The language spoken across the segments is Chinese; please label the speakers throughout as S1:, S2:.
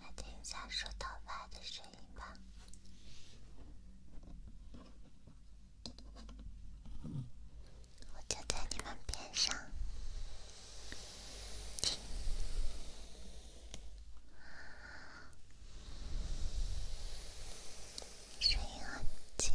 S1: 来听一下梳头发的声音吧，我就在你们边上，声音很轻。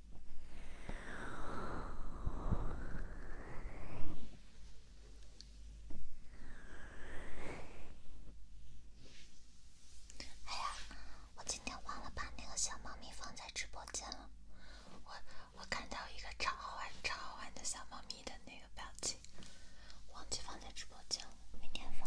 S1: 哎呀，我今天忘了把那个小猫咪放在直播间了。我我看到一个超好玩、超好玩的小猫咪的那个表情，忘记放在直播间了，明天放。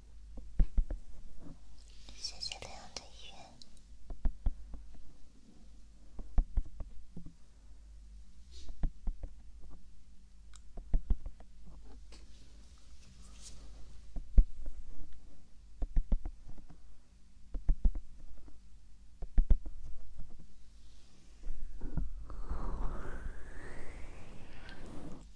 S1: 谢谢亮的月。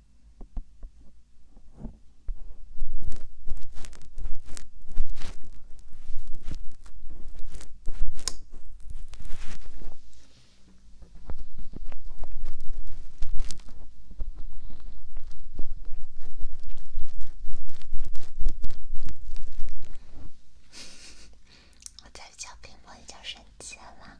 S1: 我在敲屏幕，你就生气了。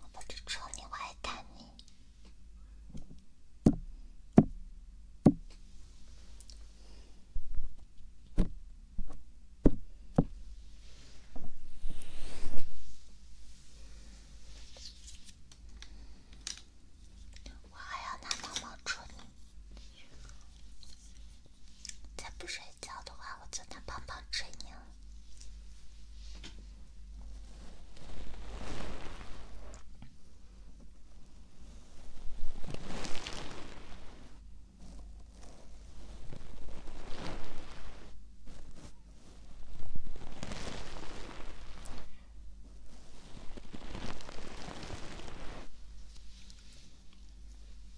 S1: 我不止捉你，我还打你。我还要拿毛毛捉你。再不睡觉的话，我就那棒棒捶你了。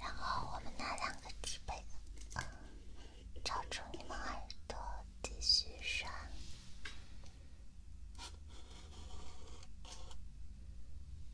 S1: 然后我们拿两个纸杯，罩住你们耳朵，继续说。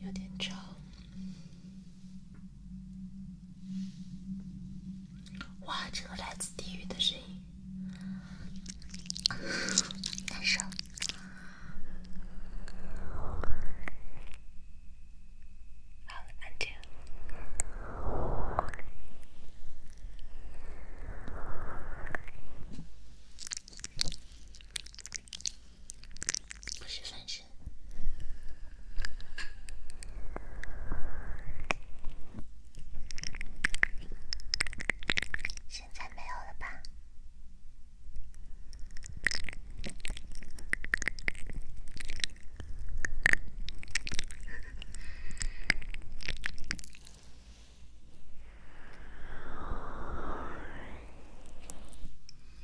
S1: 有点吵，哇，这个来自地狱的声音，难受。好了，安静。不是翻身。现在没有了吧？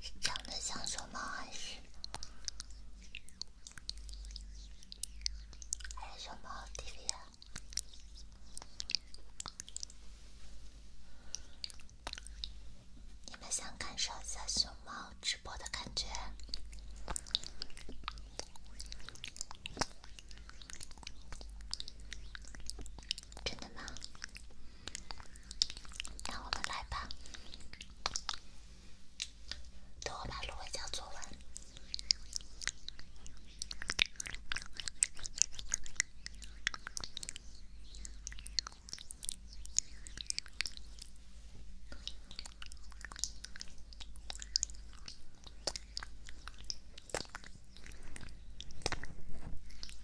S1: 是长得像熊猫还是……还是熊猫 TV 啊？你们想感受一下熊猫直播的感觉？真的吗？那我们来吧。等我把芦荟胶做完。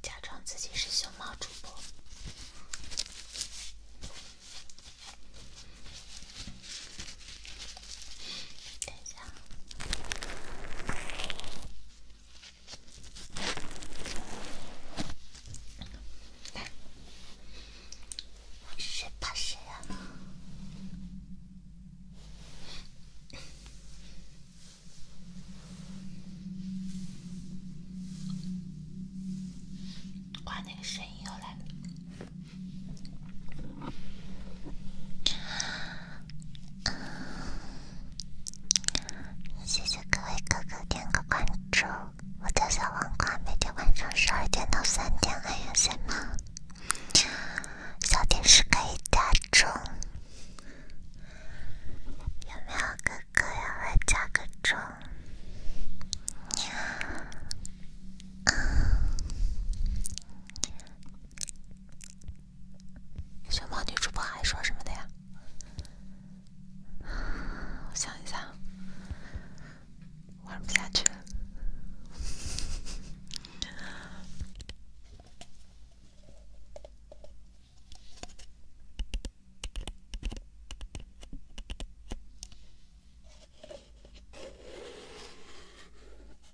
S1: 假装自己是熊猫主播。等一下。谁怕谁啊！哇，那个声音又来了。谢谢各位哥哥点个关注，我的小网关每天晚上十二点到三点还有信号，小电视可以加钟，有没有哥哥也会加个钟？熊猫女主播还说什么的呀？我想一下，玩不下去了。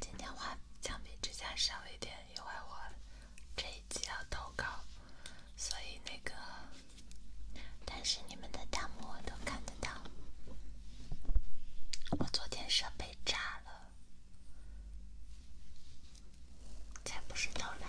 S1: 今天话相比之下少一点，因为我这一集要投稿，所以那个。但是你们的弹幕我都看得到。我昨天设备炸了，才不是捣乱。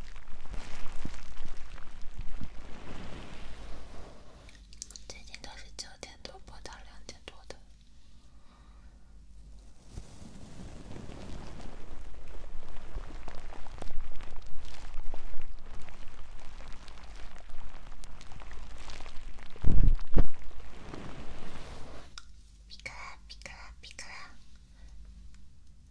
S1: 最近都是九点多播到两点多的。皮卡皮卡皮卡。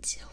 S1: 接我。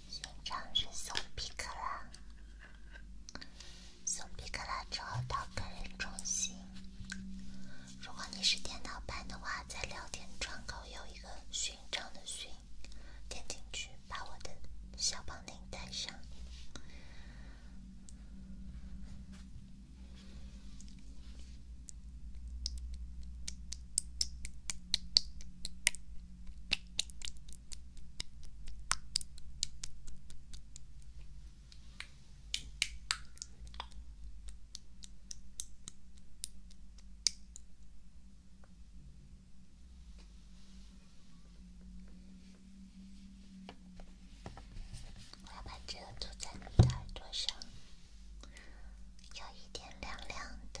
S1: 勋章是送皮克拉，送皮克拉之后到个人中心。如果你是电脑版的话，在聊天窗口有一个勋章的勋，点进去把我的小帮领带上。我要把这个涂在你的耳朵上。有一点凉凉的。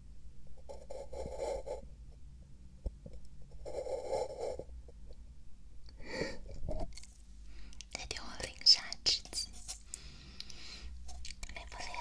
S1: 今天我零杀之极，厉不厉害？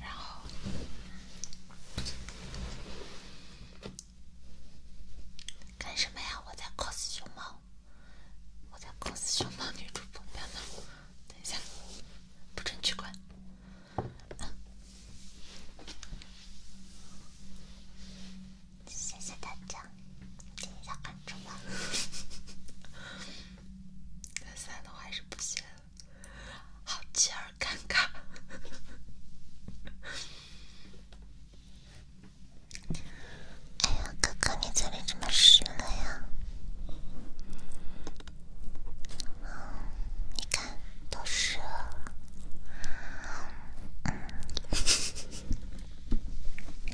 S1: 然后干什么呀？我在 cos 熊猫，我在 cos 熊猫女主播。不要等一下，不准取关！谢谢大家，点赞关注吧。三的话是不行。好奇而尴尬。哎呀，哥哥，你嘴里怎么湿了呀？你看，都湿了。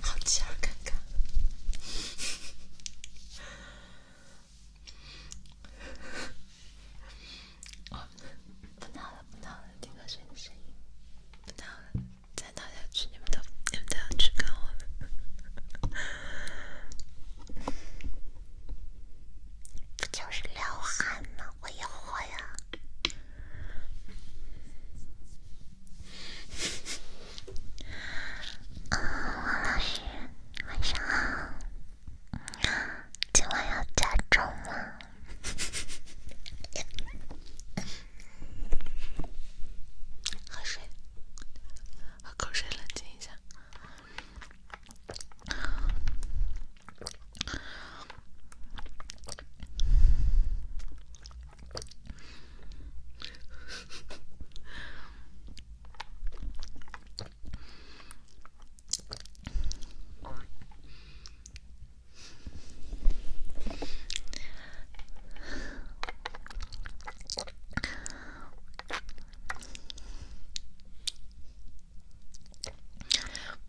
S1: 好奇而尴尬。不闹了，不闹了，听河声音。不闹了，再闹下去你们都，你们都要去看我了。不就是聊哈吗？我也会呀。啊，王老师。晚上好，今晚要加重了。喝水，喝口水，冷静一下。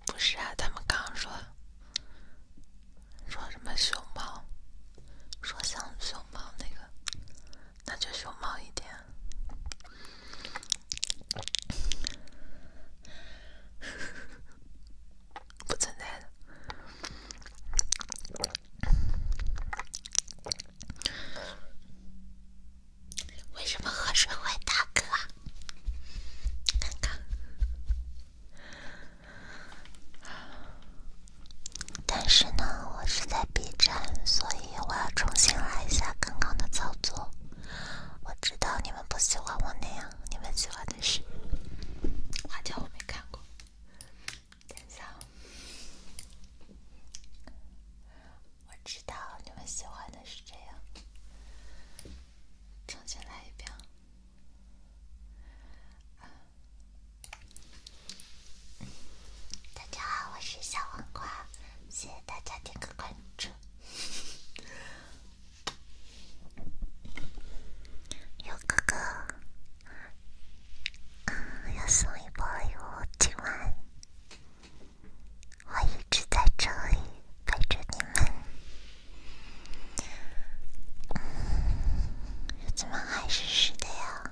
S1: 不是啊，他们刚说说什么熊猫，说像熊猫那个。那就凶猛一点，不存在的。为什么喝水会打嗝？看看。但是呢，我是在 B 站，所以我要重新来一下刚刚的操作。我知道你们不喜欢我那样，你们喜欢的是花椒，我知道你们喜欢的是这样，重新来一遍。大家好，我是小黄瓜，谢谢大家点个关注。哥哥，要送一波油纸碗，我一直在这里陪着你们。怎么还是湿的呀？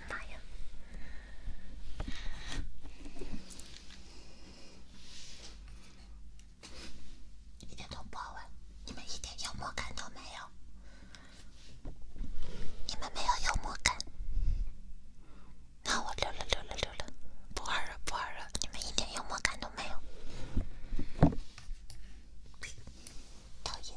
S1: 妈呀！一点都不好玩，你们一点幽默感都没有，你们没有幽默感，那我溜了溜了溜了，不玩了不玩了，你们一点幽默感都没有，讨厌。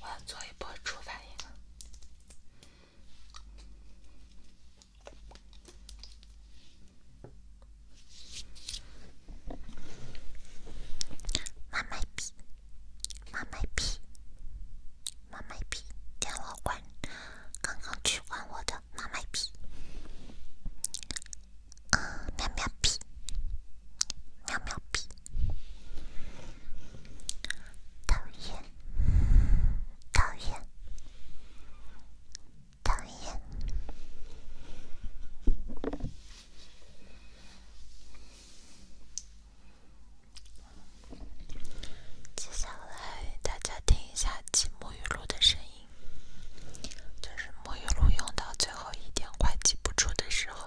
S1: 我要做一波初反应。妈卖批！妈卖批！妈卖批！电话关，刚刚去关我的妈卖批。啊，喵喵屁，喵喵屁，讨厌，讨厌，讨厌。接下来大家听一下挤沐浴露的声音。就是沐浴露用到最后一点快挤不出的时候。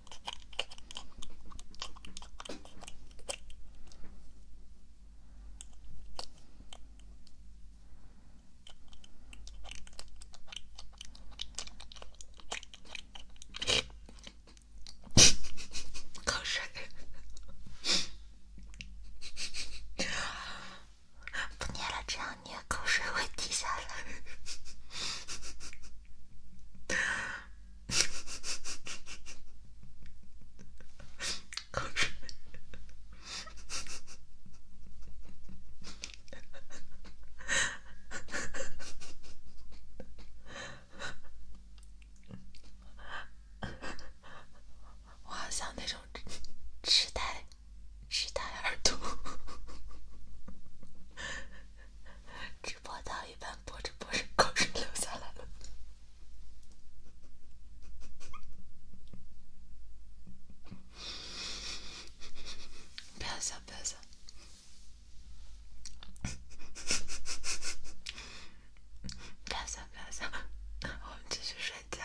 S1: 口水。不捏了，这样捏口水会滴下来。我好像那种痴呆、痴呆耳朵。直播到一半，播着播着，口水流下来了。不要笑，不要笑，不要笑，不要笑，我们继续睡觉。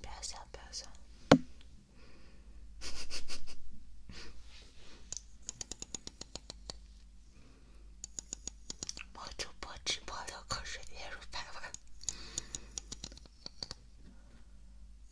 S1: 别走，别走！我主播直播流口水，泪如喷发。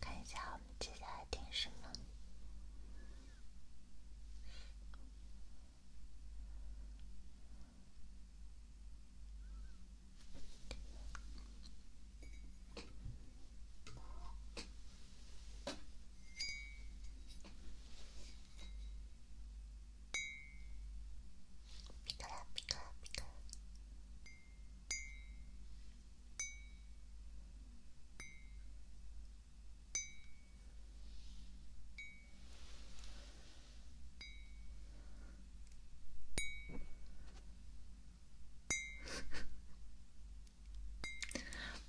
S1: 看一下，我们接下来听什么。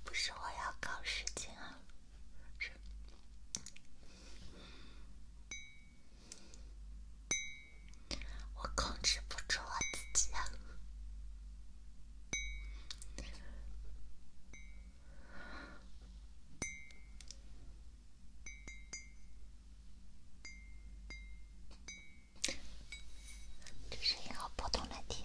S1: 不是我要搞时间啊。是，我控制不住我自己，这声音好破铜烂铁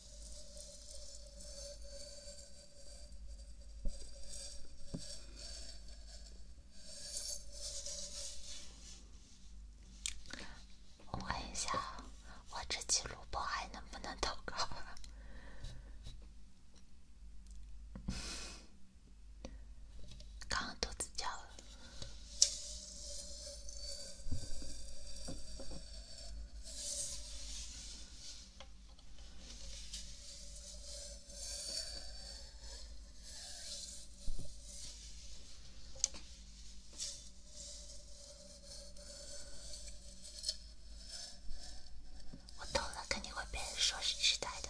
S1: 我问一下，我这期录播还能不能投稿？刚刚肚子叫。了。我懂了，肯定会被人说是痴呆的。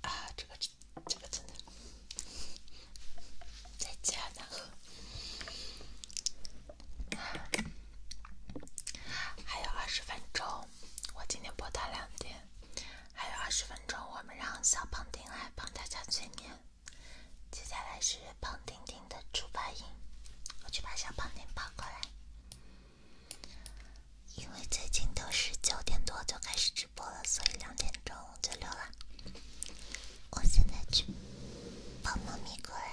S1: 啊，这个，这个真的再见了。还有二十分钟，我今天播到两点。还有二十分钟，我们让小胖丁来帮大家催眠。接下来是胖丁丁的猪八音，我去把小胖丁抱过来。因为最近都是九点多就开始直播了，所以两点钟就溜了。我现在去抱猫咪过来。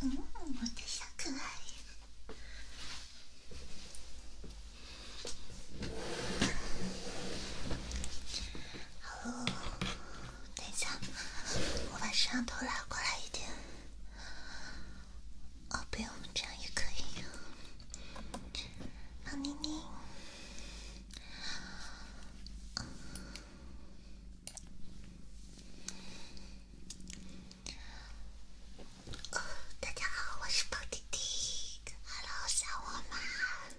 S1: 嗯，我的小可爱。哦，等一下，我把摄像头拉过来一点。哦，不用，这样也可以。放妮妮。大家好，我是胖弟弟。Hello，小伙伴们。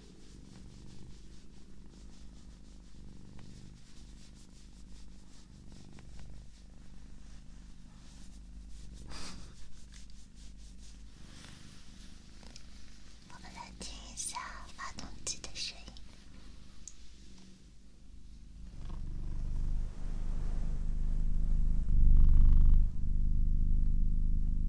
S1: 我们来听一下发动机的声音。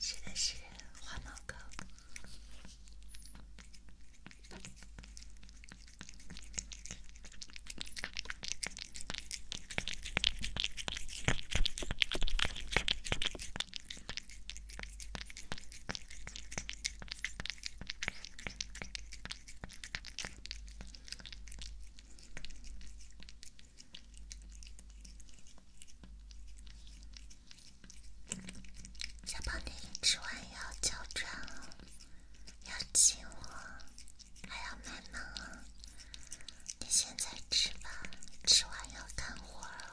S1: 吃的是花毛糕。下班你吃完要交账哦，要亲我。还要买吗？你现在吃吧，吃完要干活儿。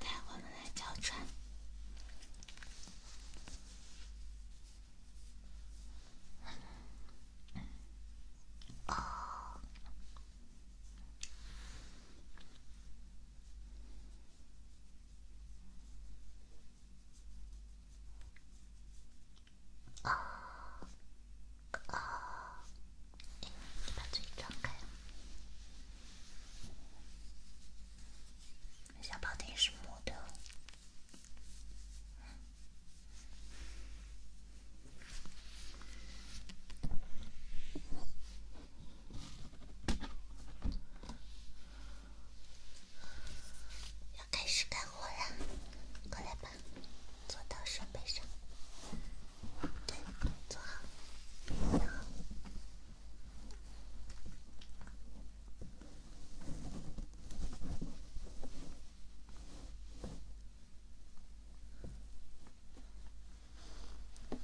S1: 带我们来教穿。哦。哦哦，你把嘴张开，是干活了，快来吧。坐到设备上，对，坐好，然后你，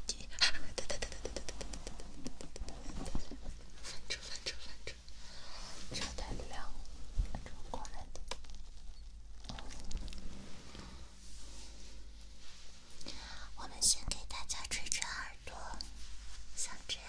S1: 等等等等等等等等等等等等等等，翻车翻车翻车，设备太亮，这个光有点。我们先给大家吹吹耳朵，像这样。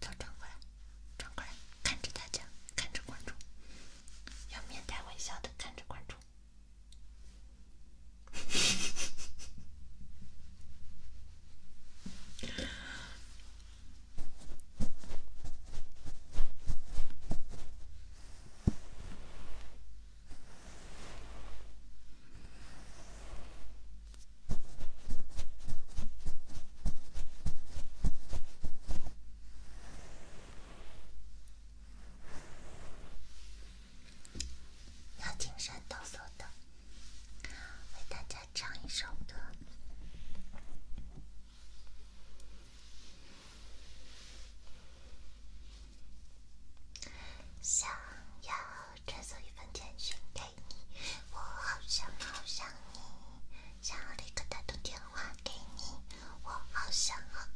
S1: 都转过来，转过来，看着大家，看着观众，要面带微笑的看着观众。要青山抖擞的，为大家唱一首歌。想要传送一份简讯给你，我好想好想你，想要立刻打通电话给你，我好想好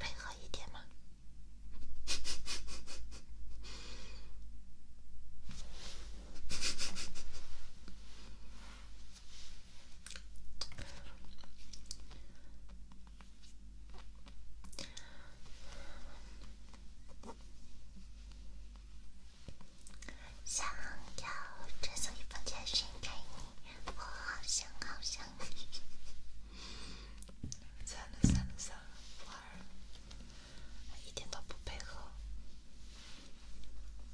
S1: 配合一点吗？想要整宿一房间睡给你，我好想好想你。在那山路上玩，一点都不配合。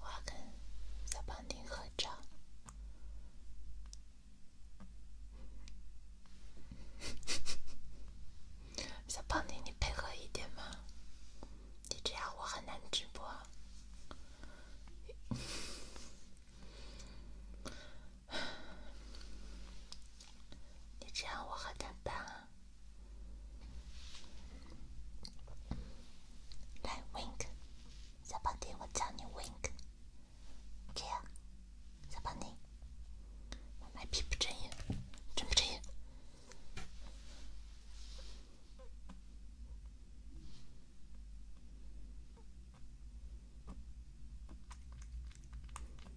S1: 我跟小胖丁合照。小胖丁，你配合一点吗？你这样我很难直播。你这样我很难办啊。来 wink，小宝弟，我教你 wink，这样，小宝弟，我卖皮不睁眼，睁不睁眼？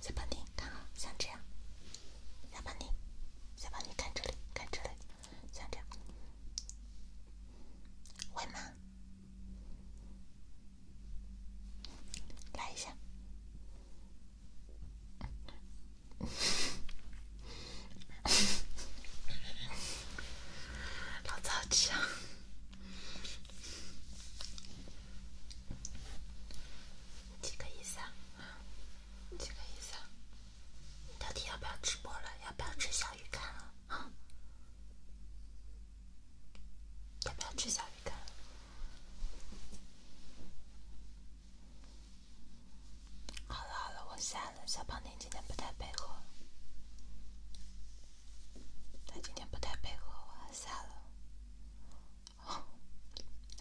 S1: 小胖丁，看啊，像这样。小胖丁，小胖丁，看这里，看这里，像这样，会吗？来一下。老早急啊。几个意思啊？几个意思啊？到底要不要直播了？要不要吃小鱼干了？啊？要不要吃小鱼干了？好了好了，我下了。小胖，你今天不太配合。他今天不太配合，我下了。好，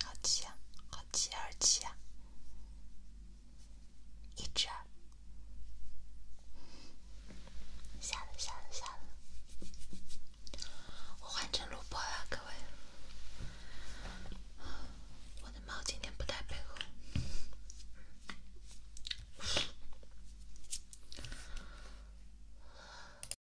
S1: 好气啊，好气，好气啊！一只啊，下了，下了，下了！我换成录播了，各位。我的猫今天不太配合。